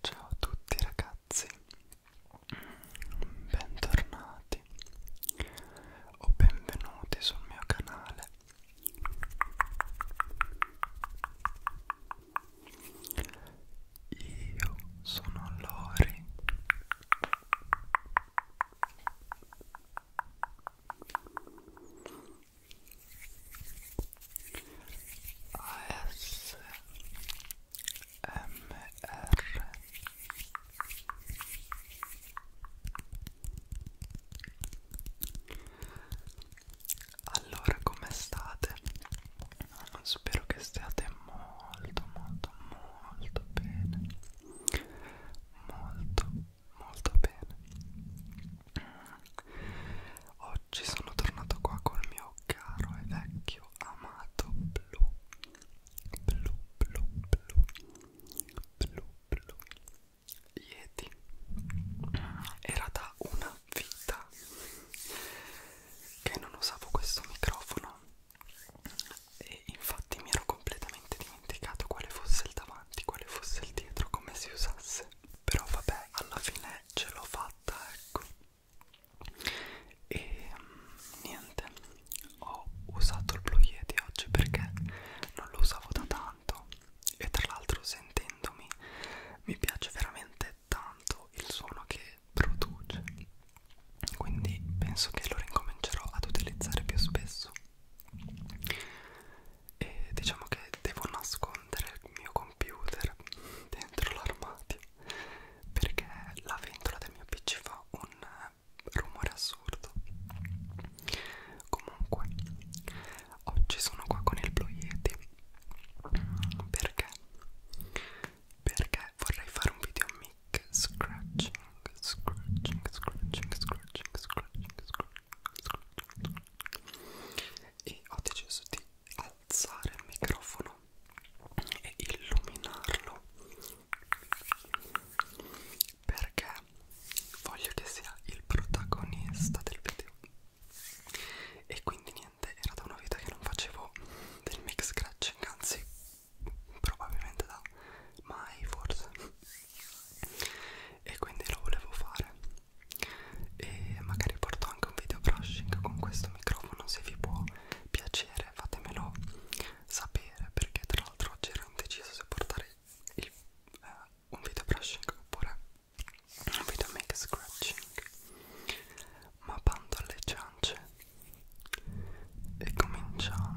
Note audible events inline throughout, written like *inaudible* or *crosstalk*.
Ciao a tutti ragazzi, bentornati o benvenuti sul mio canale. Io sono Lori ASMR Allora come state? Spero che stiate molto molto molto bene molto molto bene oggi sono tornato qua col mio caro e vecchio amato blu blu blu blu blu blu Yeti era da una vita che non usavo questo microfono e infatti mi ero completamente dimenticato quale fosse il davanti, quale fosse il dietro, come si usasse. Però vabbè, alla fine ce l'ho fatta, ecco. E mh, mm, niente, ho usato il Blue Yeti oggi perché non lo usavo da tanto e tra l'altro sentendomi mi piace veramente tanto il suono che produce quindi penso che lo ricomincerò ad utilizzare più spesso e diciamo che devo nascondere il mio computer *laughs* dentro l'armadio perché la ventola del mio pc fa un rumore assurdo comunque oggi sono qua con il Blue Yeti perché perché vorrei fare un video mix scratching, scratching, scratching, scratching, scratching, scratching. E ho deciso di alzare il microfono e illuminarlo perché voglio che sia il protagonista del video. E quindi niente, era da una vita che non facevo del mix scratching, anzi probabilmente da mai forse e quindi lo volevo fare e magari porto anche un video brushing con questo microfono se vi può piacere fatemelo sapere perché tra l'altro oggi ero indeciso se portare il, eh, un video brushing oppure un video make scratching ma bando alle ciance e cominciamo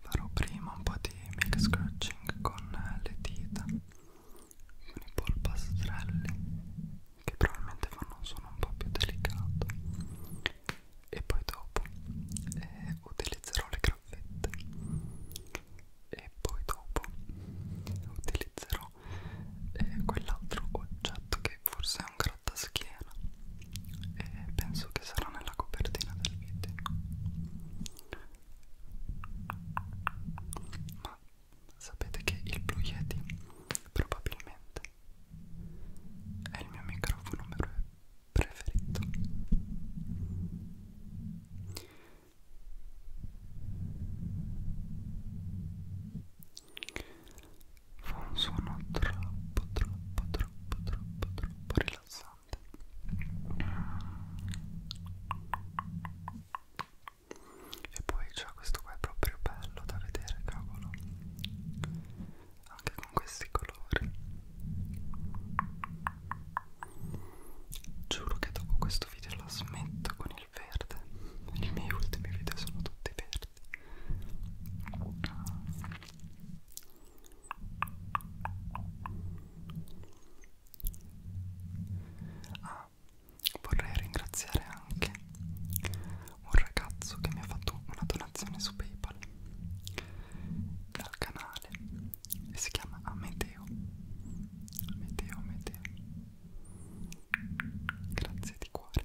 farò prima un po' di milk scratching con le dita con i polpastrelli che probabilmente fanno un suono un po' più delicato e poi dopo eh, utilizzerò le graffette e poi dopo utilizzerò eh, quell'altro oggetto che forse è un gatta schiena e penso che sarà nella copertina del video ma sapete che il Blue Yeti probabilmente è il mio microfono preferito Fa un suono troppo, troppo, troppo, troppo, troppo rilassante e poi c'è cioè, questo qua è proprio bello da vedere cavolo anche con questi colori giuro che dopo questo video la smetto con il verde i miei ultimi video sono tutti verdi Ah, vorrei ringraziare anche un ragazzo che mi ha fatto una donazione su PayPal dal canale e si chiama Ameteo. Ah, Ameteo, Ameteo. Grazie di cuore.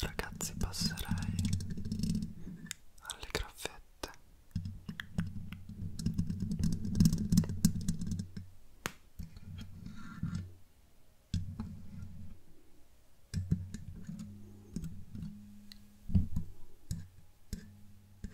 Ragazzi, passerei alle graffette.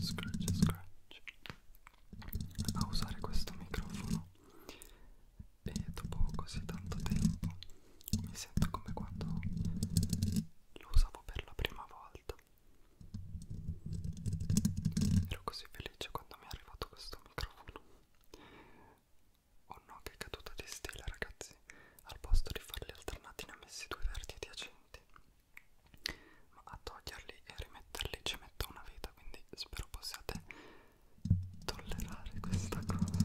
Scratch, scratch, scratch. A usare questo microfono e dopo così tanto tempo mi sento come quando lo usavo per la prima volta Ero così felice quando mi è arrivato questo microfono. Oh no, che caduta di stile, ragazzi! Al posto di farli alternati ne ho messi due verdi adiacenti. Ma a toglierli e rimetterli ci metto una vita, quindi spero possiate tollerare questa cosa.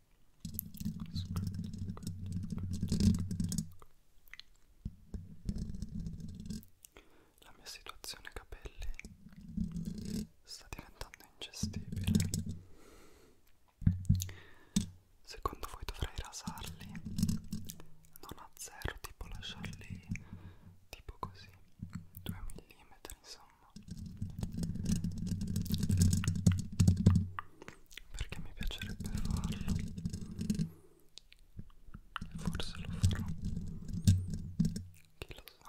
La mia situazione capelli sta diventando ingestibile. Secondo voi dovrei rasarli? Non a zero, tipo lasciarli tipo così, 2 mm insomma perché mi piacerebbe farlo e forse lo farò chi lo sa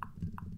Ecco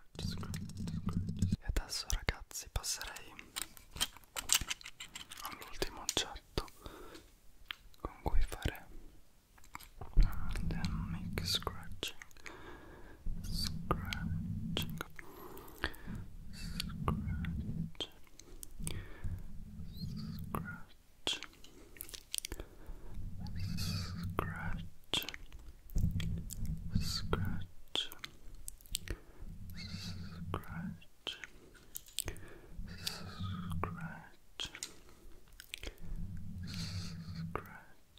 scratch, scratch, scratch. E adesso ragazzi passerei all'ultimo oggetto con cui fare dynamic scratching scratching scratch scratch scratch scratch, scratch, scratch,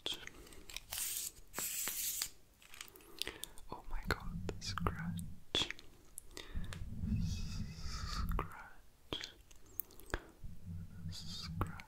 scratch. Oh my God, scratch, scratch, scratch.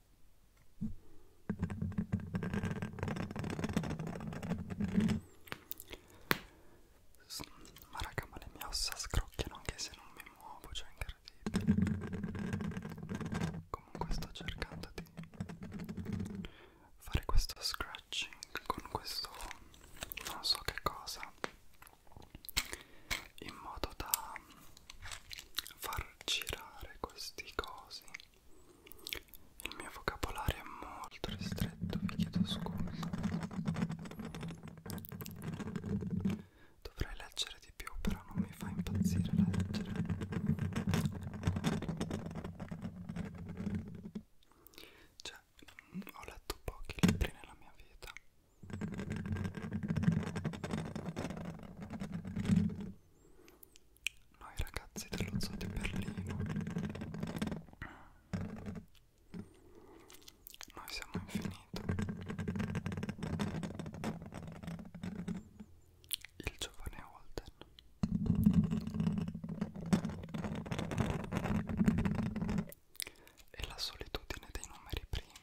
S ma raga ma le mie ossa scrocchiano anche se non mi muovo, cioè incredibile. Comunque sto cercando di fare questo scratching con questo non so che cosa in modo da far girare questi cosi il mio vocabolario è molto ristretto vi chiedo scusa dovrei leggere di più però non mi fa impazzire leggere cioè ho letto pochi libri nella mia vita noi ragazzi dello zoo di Berlino noi siamo infinito il giovane Holden e la solitudine dei numeri primi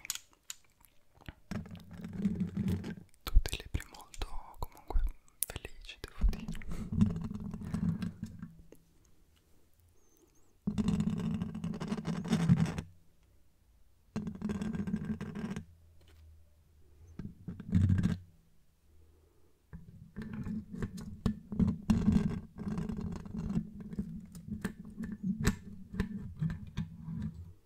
tutti i libri molto comunque felici, devo dire.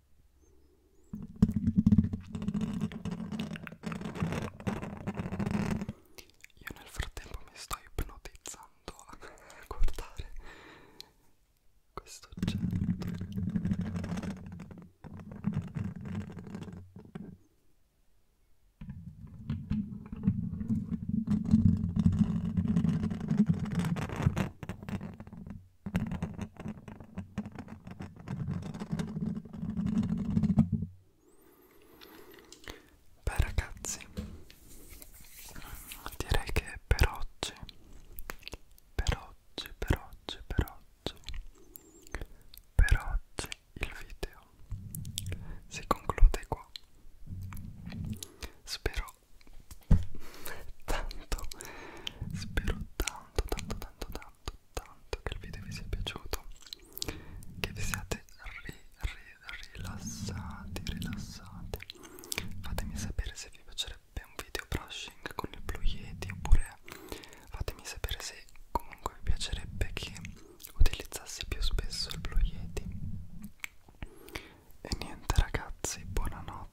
Io nel frattempo mi sto ipnotizzando a *laughs* guardare questo oggetto. Beh ragazzi, direi che per oggi, per oggi, per oggi, per oggi, per oggi il video si conclude qua. Spero tanto, spero tanto, tanto, tanto tanto tanto che il video vi sia piaciuto che vi siate ri, ri, rilassati rilassati fatemi sapere se vi piacerebbe un video brushing con il Blue Yeti oppure fatemi sapere se comunque vi piacerebbe che utilizzassi più spesso il Blue Yeti e niente ragazzi buonanotte